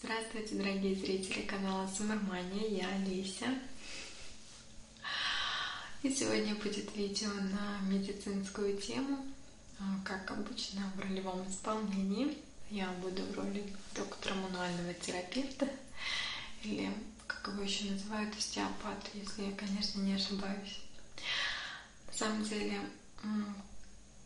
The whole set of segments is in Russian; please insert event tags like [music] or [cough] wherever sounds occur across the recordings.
Здравствуйте, дорогие зрители канала Сумермания, я Олеся. И сегодня будет видео на медицинскую тему. А, как обычно в ролевом исполнении я буду в роли доктора мануального терапевта или как его еще называют остеопат, если я, конечно, не ошибаюсь. На самом деле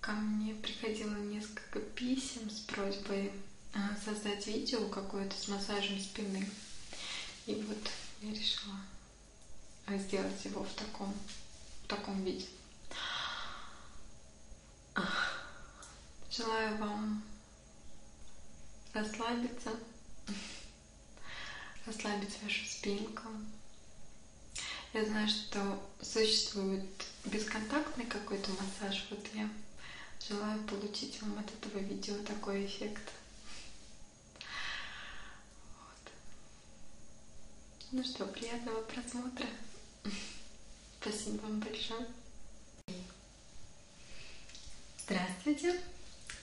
ко мне приходило несколько писем с просьбой а, создать видео какое-то с массажем спины. И вот я решила а сделать его в таком, в таком виде. Желаю вам расслабиться, [laughs] расслабить вашу спинку. Я знаю, что существует бесконтактный какой-то массаж. Вот я желаю получить вам от этого видео такой эффект. Вот. Ну что, приятного просмотра. Спасибо вам большое. Здравствуйте.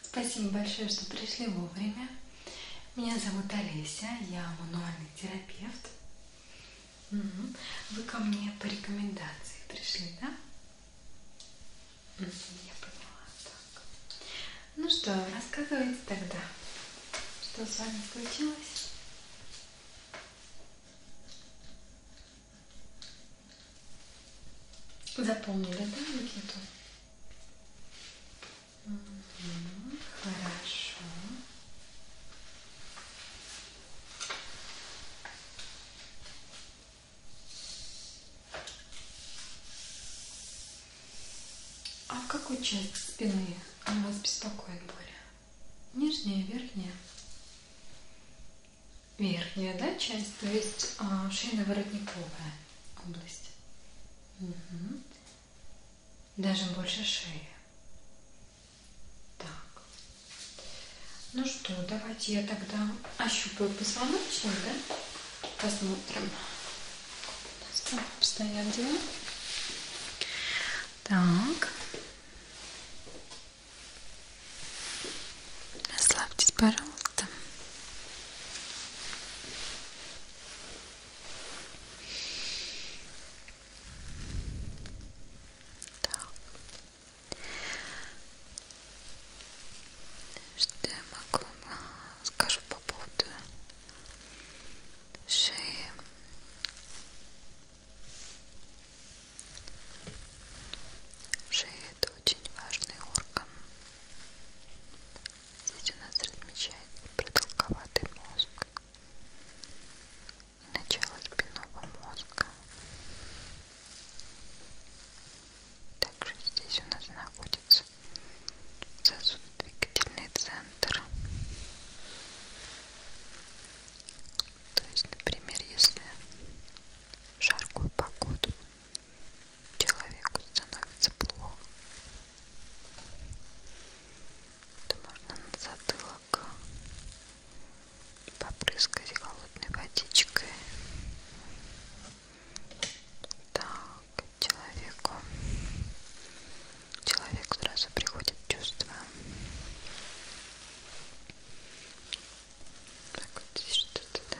Спасибо большое, что пришли вовремя. Меня зовут Олеся, я мануальный терапевт. Угу. Вы ко мне по рекомендации пришли, да? Я поняла. Так. Ну что, рассказывайте тогда, что с вами случилось? Запомнили, да, Никиту? Угу, хорошо. А в какой части спины она вас беспокоит более? Нижняя, верхняя? Верхняя, да, часть? То есть а, шейно-воротниковая область. Угу. Даже больше шеи. Так. Ну что, давайте я тогда ощупаю позвоночник, да? Посмотрим у нас там обстоят дела. Так. Расслабьтесь, пожалуйста. Так. Что я могу э, скажу по поводу шеи шея это очень важный орган здесь у нас размечается продолговатый мозг и начало спинного мозга также здесь у нас находится сосудодвигательный центр. То есть, например, если в жаркую погоду человеку становится плохо, то можно на затылок попрыскать холодной водичкой. Так к человеку человек сразу приходит чувство так вот здесь что-то да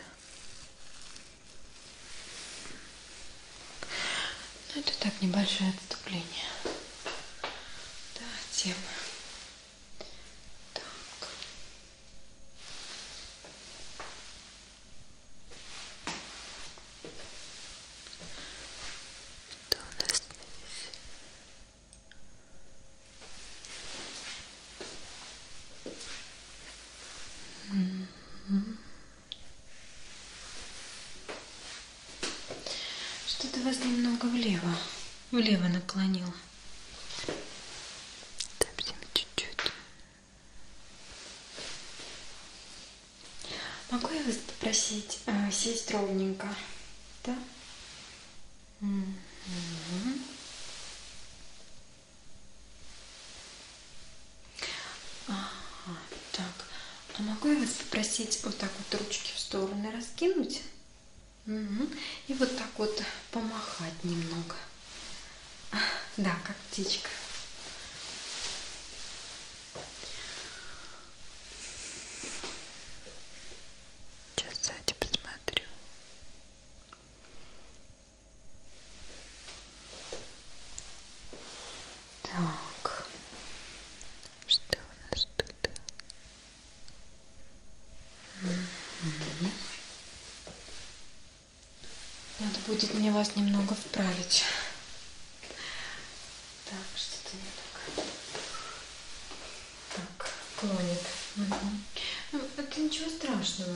ну это так небольшое отступление да тема так что у нас здесь? Mm -hmm. Что-то вас немного влево, влево наклонило. Совсем чуть-чуть. Могу я вас попросить э, сесть ровненько? Да? Угу. Ага, так. А могу я вас попросить вот так вот ручки в стороны раскинуть? Угу. И вот так вот помахать немного. Да, как птичка. Сейчас сзади посмотрю. Так, что у нас тут? Угу. Надо будет мне вас немного вправить. Так, что-то не так. Так, клонит. Угу. Ну, это ничего страшного.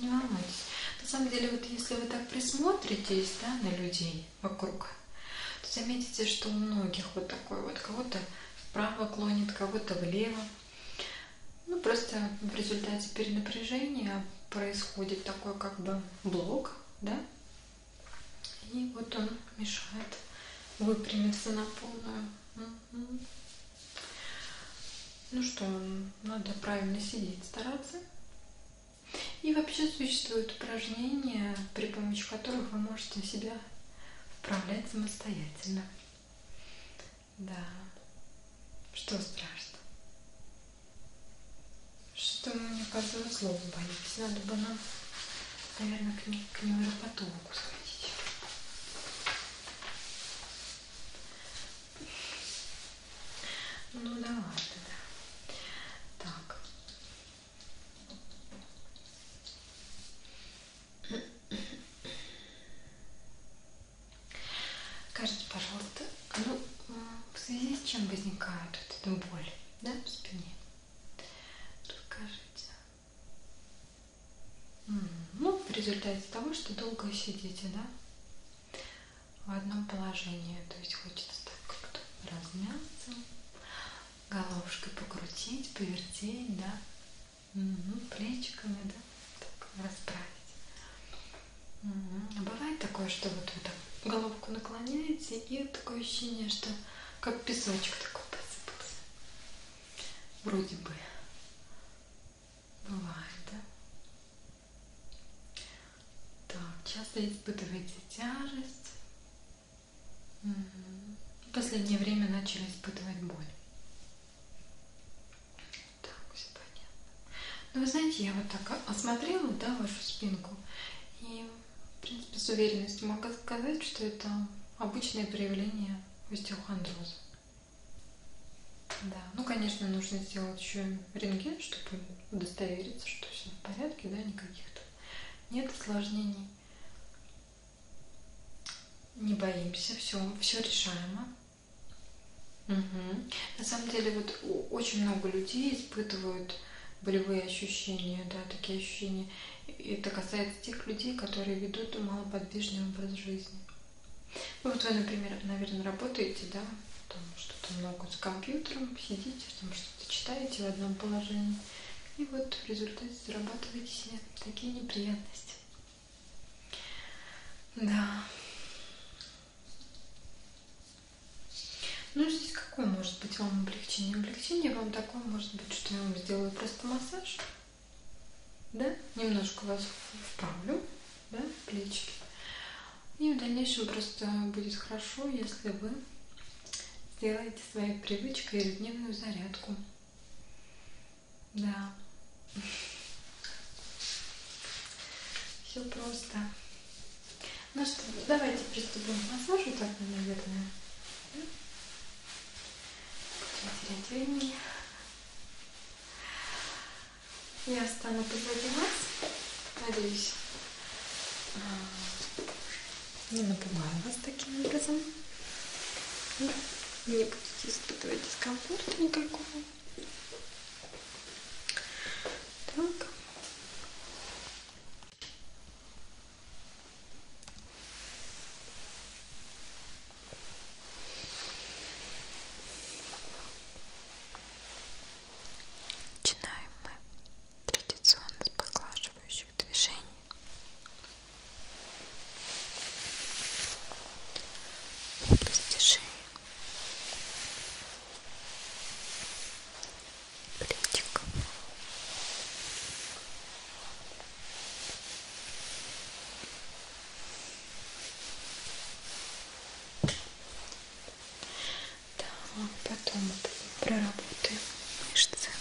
Не волнуйтесь. На самом деле, вот если вы так присмотритесь, да, на людей вокруг, то заметите, что у многих вот такой вот, кого-то вправо клонит, кого-то влево. Ну, просто в результате перенапряжения происходит такой как бы блок да? И вот он мешает выпрямиться на полную. Угу. Ну что, надо правильно сидеть, стараться. И вообще существуют упражнения, при помощи которых вы можете себя вправлять самостоятельно. Да, что страшно. Что мне каждого слова боитесь. Надо бы нам, наверное, к, не, к невропатологу сходить. Ну да ладно, да. Так. Скажите, пожалуйста, ну, в связи с чем возникает вот эта боль, да, в спине? Скажите. Ну, в результате того, что долго сидите, да, в одном положении. То есть хочется так как-то размяться, головушкой покрутить, повертеть, да, угу. плечиками, да, так расправить. А бывает такое, что вот вы так головку наклоняете, и такое ощущение, что как песочек такой посыпался. Вроде бы. Бывает, да? Так, часто испытываете тяжесть. В последнее время начали испытывать боль. Так, все понятно. Ну, вы знаете, я вот так осмотрела, да, вашу спинку, и, в принципе, с уверенностью могу сказать, что это обычное проявление остеохондроза. Да, ну, конечно, нужно сделать еще рентген, чтобы удостовериться, что все в порядке, да, никаких там нет осложнений. Не боимся, все, все решаемо. Угу. На самом деле, вот очень много людей испытывают болевые ощущения, да, такие ощущения. И это касается тех людей, которые ведут малоподвижный образ жизни. Ну вот вы, например, наверное, работаете, да, там что-то много с компьютером, сидите, там что-то читаете в одном положении. И вот в результате зарабатываете себе такие неприятности. Да. Ну, здесь какое может быть вам облегчение? Облегчение вам такое может быть, что я вам сделаю просто массаж. Да? Немножко вас вправлю, да, плечики. И в дальнейшем просто будет хорошо, если вы сделаете своей привычкой ежедневную зарядку. Да. [laughs] Все просто. Ну что, давайте приступим к массажу тогда, наверное. Будем терять времени. Я встану позади вас. Надеюсь, а, не напугаю вас таким образом. Не будете испытывать дискомфорта никакого. Так. Начинаем мы традиционно с поглаживающих движений. Область шеи. Плютик. Да, потом проработаем мышцы. Итак,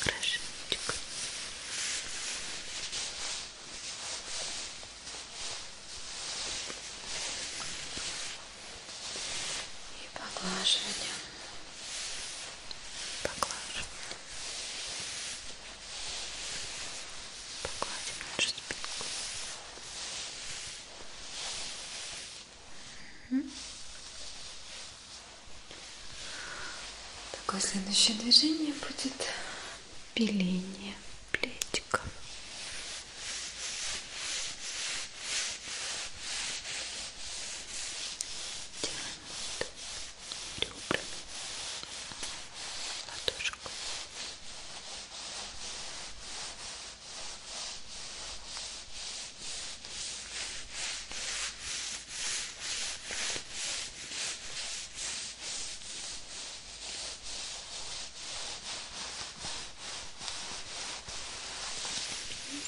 Хорошенечко. И поглаживание. Поглаживание. Погладим нашу спинку. Угу. Такое следующее движение будет пиление плечиков. Делаем вот ребрами ладошку.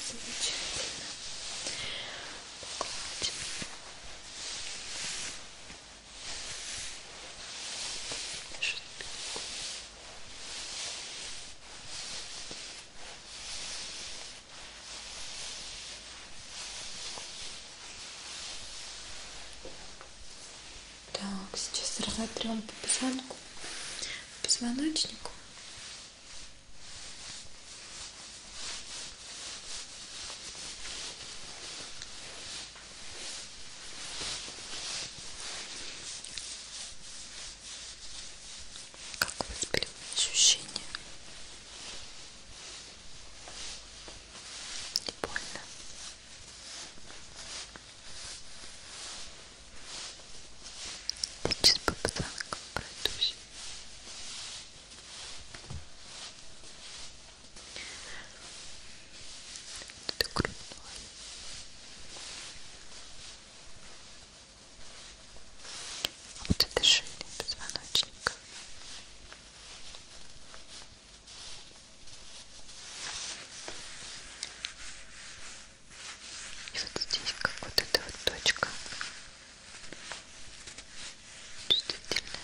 Замечательно. Погладим. Нашу спинку. Так, сейчас разотрем по позвонку, по позвоночнику. Как у вас были ощущения? Не больно? Я сейчас по пацанкам пройдусь до грудной. А вот это шейный позвоночник. И вот здесь как вот эта вот точка чувствительная.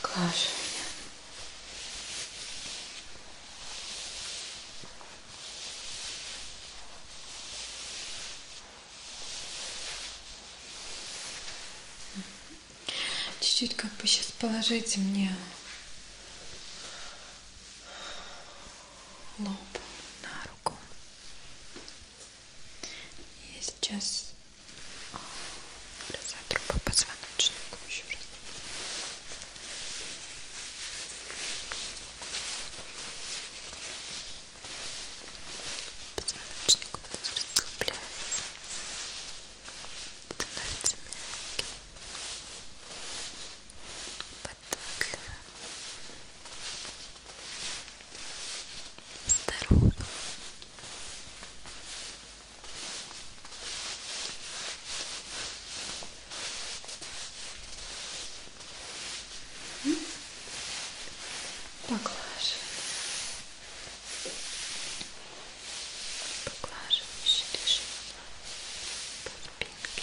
Поглаживаю. чуть-чуть как бы сейчас положите мне лоб на руку руку. Я сейчас разотру по позвоночнику еще раз. Позвоночник у нас расслабляется, становится мягким. По так. Здорово. Поглаживаем. Поглаживающий режим по спинке.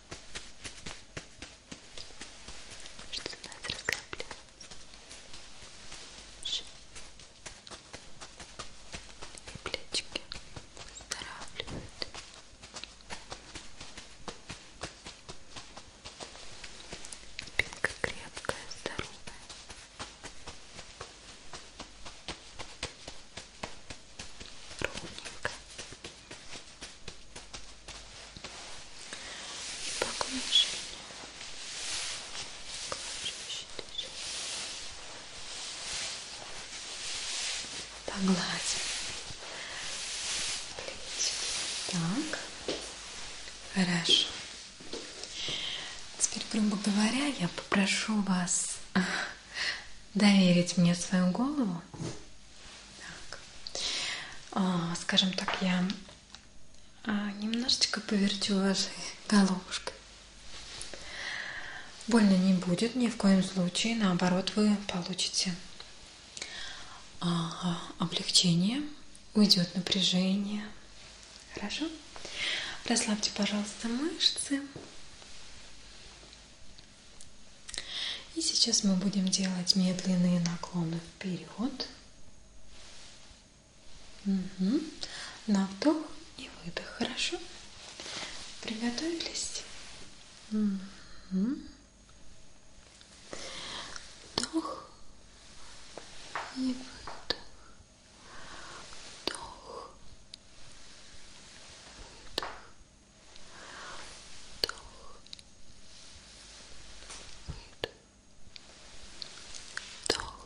Что у нас раскапливается? Ш. И плечики выздоравливают. Спинка крепкая, здоровая. Ровненько и по окружению погладим так хорошо теперь грубо говоря я попрошу вас доверить мне свою голову. Так. А, скажем так, я а, немножечко повертю вашей головушкой. Больно не будет ни в коем случае, наоборот, вы получите а, облегчение, уйдет напряжение. Хорошо? Расслабьте, пожалуйста, мышцы. И сейчас мы будем делать медленные наклоны вперед. Угу. На вдох и выдох. Хорошо? Приготовились? Угу. Вдох и выдох. Вдох. Выдох вдох, выдох, вдох,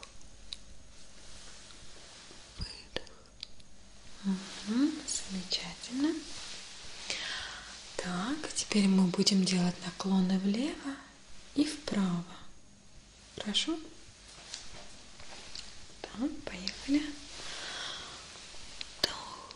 выдох. Угу, замечательно. Так, теперь мы будем делать наклоны влево и вправо. Хорошо? Да, поехали. Вдох,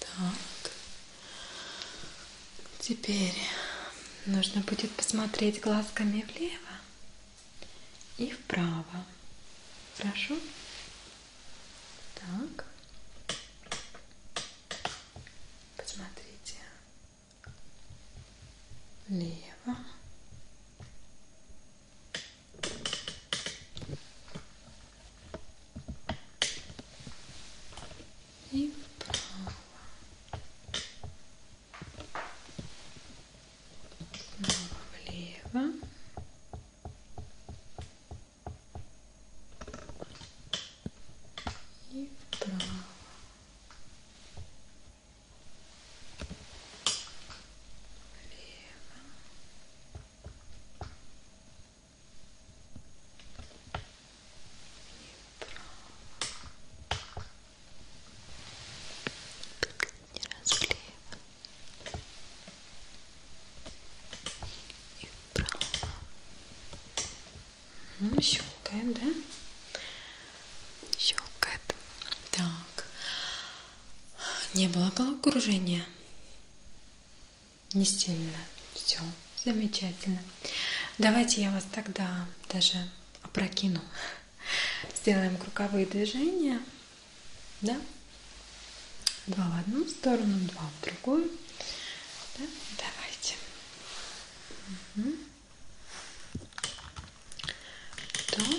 Так. Теперь нужно будет посмотреть глазками влево и вправо. Хорошо? Так. Посмотрите. Лево. И вправо. Снова влево. И вправо. Влево не расклеиваем и вправо ну, щелкает, да? щелкает так не было головокружения? Не сильно. Все, замечательно. Давайте я вас тогда даже опрокину. Сделаем круговые движения. Да? Два в одну сторону, два в другую. Да? Давайте. Угу. Вдох.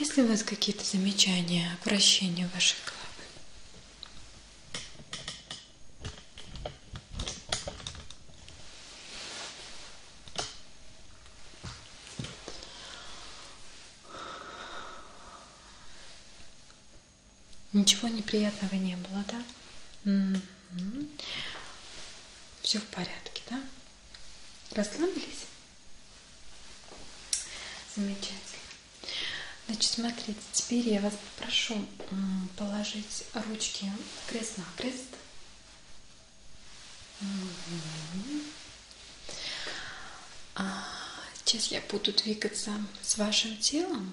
Есть ли у вас какие-то замечания о вращении вашей головы? Ничего неприятного не было, да? Угу. Все в порядке, да? Расслабились? Замечательно. Значит, смотрите, теперь я вас попрошу положить ручки крест на крест. Угу. А сейчас я буду двигаться с вашим телом.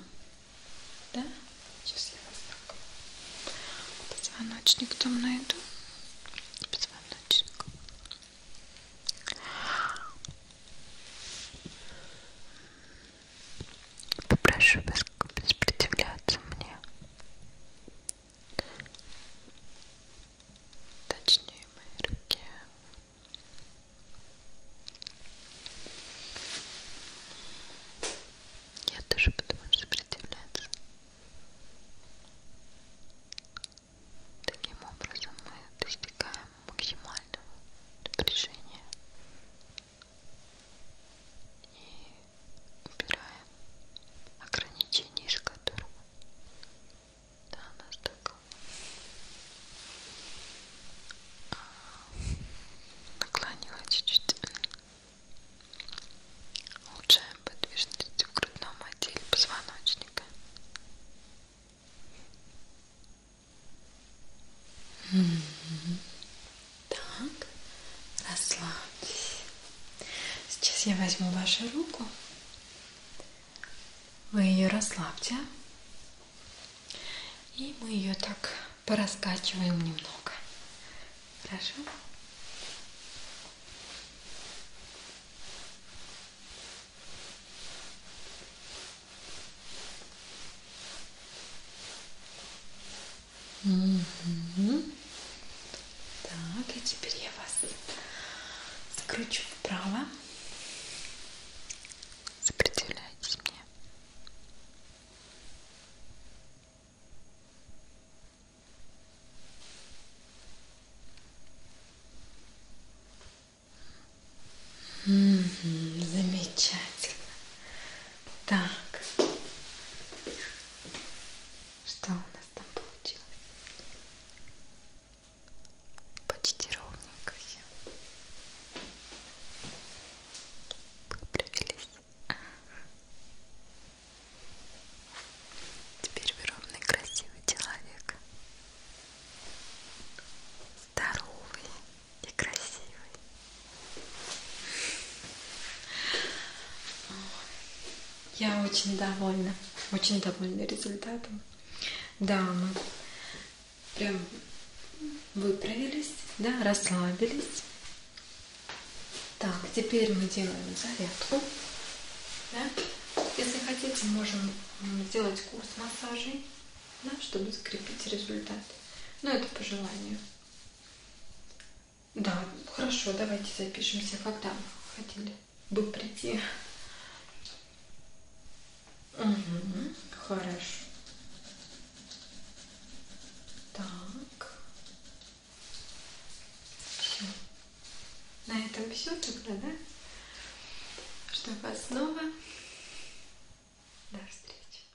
Да? Сейчас я вас так. Позвоночник там найду. Позвоночник. Попрошу вас сопротивляться мне точнее в моей руке я тоже подумаю, сопротивляться таким образом мы достигаем максимального напряжения и убираем ограничения, из которых да, она так наклонила чуть-чуть. Улучшаем подвижность в грудном отделе позвоночника. Так, расслабьтесь. Сейчас я возьму вашу руку вы ее расслабьте. И мы ее так пораскачиваем немного. Хорошо? Угу. Так, и теперь я вас скручу вправо. Сопротивляйтесь мне. Угу, замечательно. Так. Что у нас там получилось? почти ровненько все выправились теперь вы ровный красивый человек здоровый и красивый я очень довольна, очень довольна результатом. Да, мы прям выправились, да, расслабились. Так, теперь мы делаем зарядку. Да? Если хотите, можем сделать курс массажей, да, чтобы закрепить результат. Но ну, это по желанию. Да, хорошо, давайте запишемся, когда вы хотели бы прийти. Угу, хорошо. Так. Все. На этом все тогда, да? Жду вас снова. До встречи.